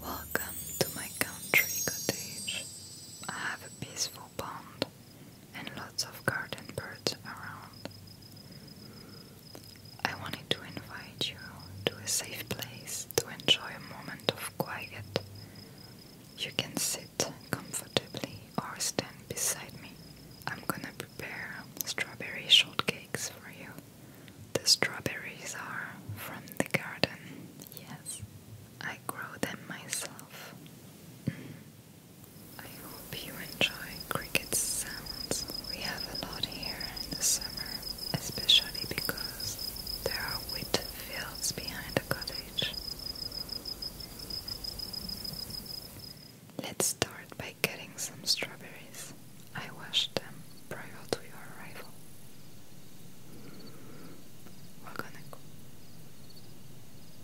Welcome to my country cottage. I have a peaceful pond and lots of garden birds around. I wanted to invite you to a safe place to enjoy a moment of quiet. You can sit comfortably or stand beside me. I'm gonna prepare strawberry shortcakes for you. The strawberries are from the garden, yes. I grow them myself. Mm. I hope you enjoy cricket sounds. We have a lot here in the summer, especially because there are wheat fields behind the cottage. Let's start by getting some strawberries. I washed them prior to your arrival. We're gonna go.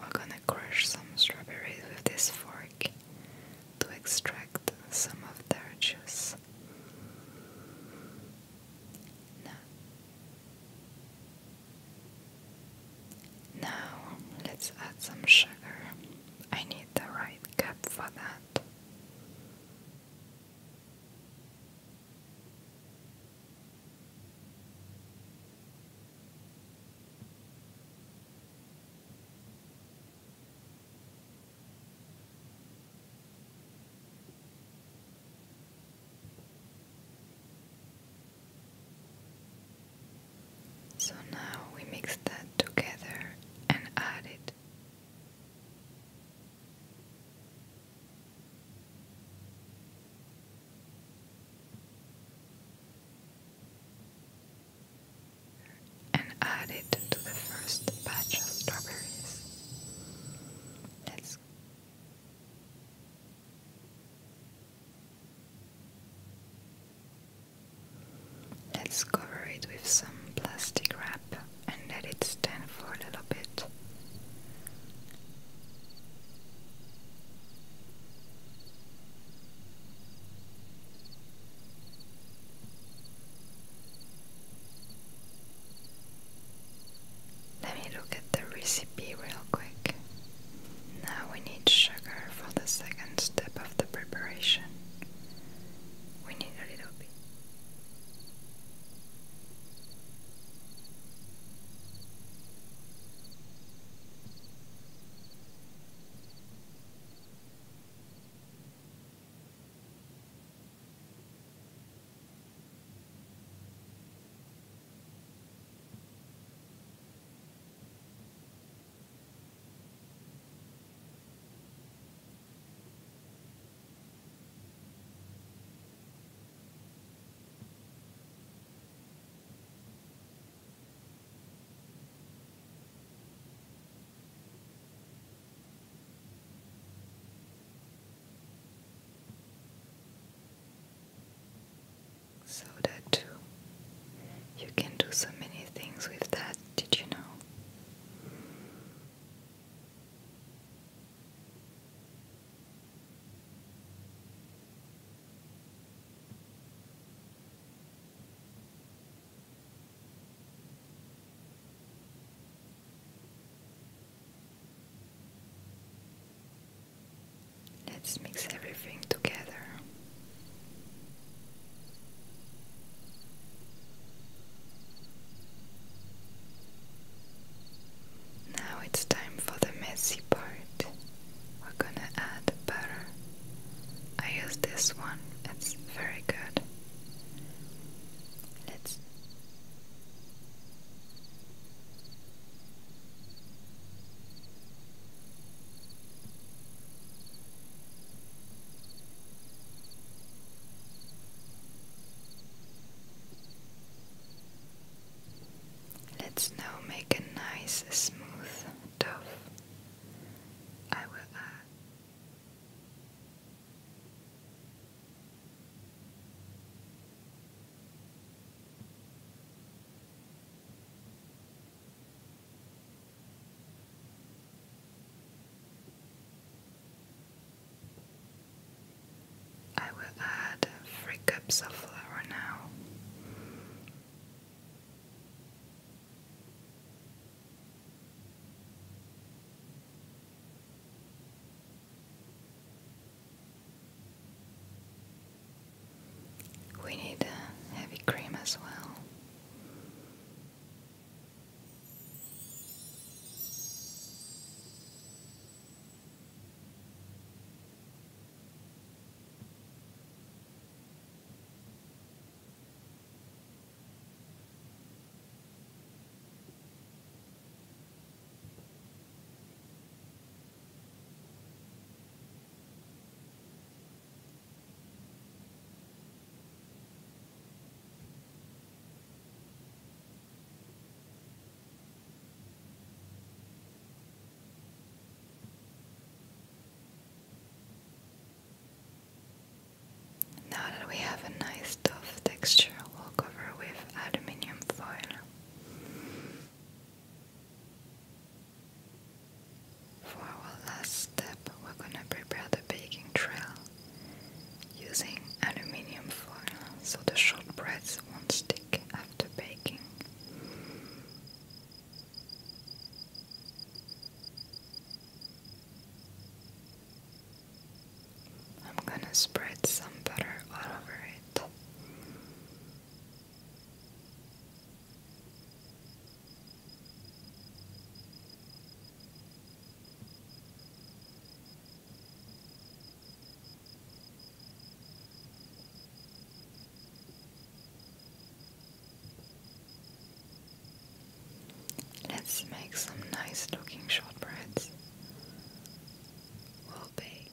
We're gonna crush some strawberries with this fork to extract some of their juice. Now, now let's add some sugar. I need the right cup for that. So now we mix that together and add it and add it to the first batch of strawberries. Let's Let's cover it with some plastic wrap and let it stand for a little bit. Let me look at the recipe real quick. Now we need sugar for the second step of the preparation. We need a little bit so that too you can do so many things with that did you know? Let's mix everything together. Now it's time for the messy part. We're gonna add butter. I use this one, it's very good. Let's Let's now make a nice, smooth dough. I will add. Uh, I will add three cups of flour now. We need a heavy cream as well. Now that we have a nice tough texture, we'll cover with aluminium foil. For our last step, we're gonna prepare the baking trail using aluminium foil so the shortbreads won't stick after baking. I'm gonna spread some butter all over it. Let's make some nice looking shortbreads. will bake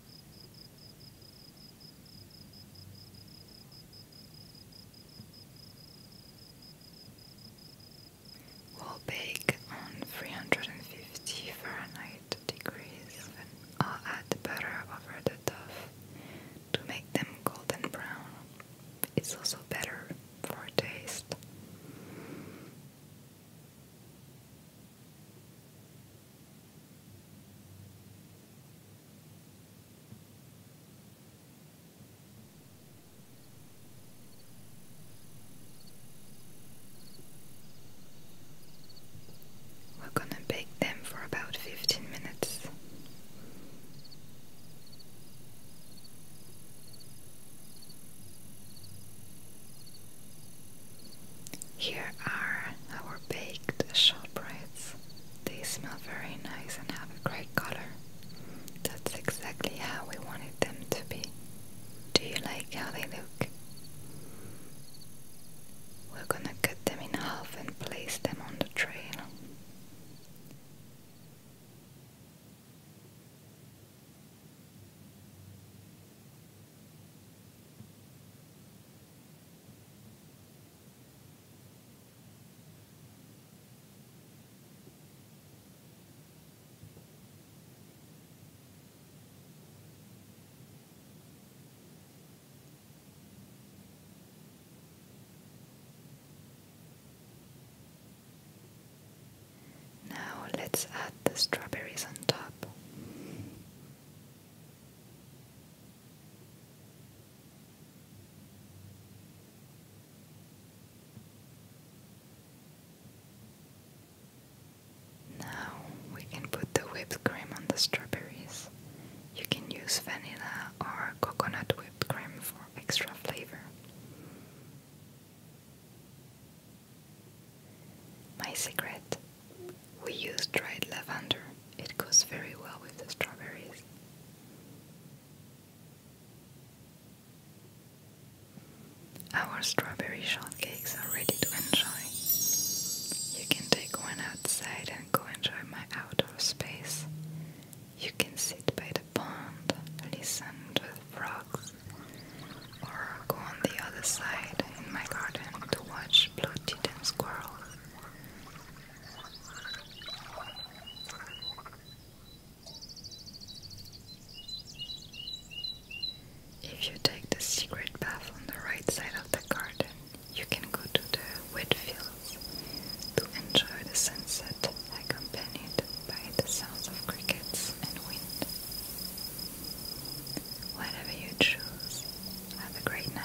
we Will bake on 350 Fahrenheit degrees and I'll add the butter over the dough to make them golden brown. It's also better for taste. We're going to bake them for about 15 minutes. Here are our baked shortbreads. They smell very nice and have a great color. That's exactly how we wanted them to be. Do you like how they look? We're gonna cut them in half and place them on the trail. Now let's add the strawberries on top. Now we can put the whipped cream on the strawberries. You can use vanilla or coconut whipped cream for extra flavor. My secret we use dried lavender, it goes very well with the strawberries. Our strawberry shortcakes are ready to enjoy. You can take one outside and go enjoy my outdoor space. You can sit by the pond, listen to the frogs, or go on the other side in my garden to watch fish, bloated, and squirrels. If you take the secret path on the right side of the garden, you can go to the wet fields to enjoy the sunset accompanied by the sounds of crickets and wind. Whatever you choose, have a great night.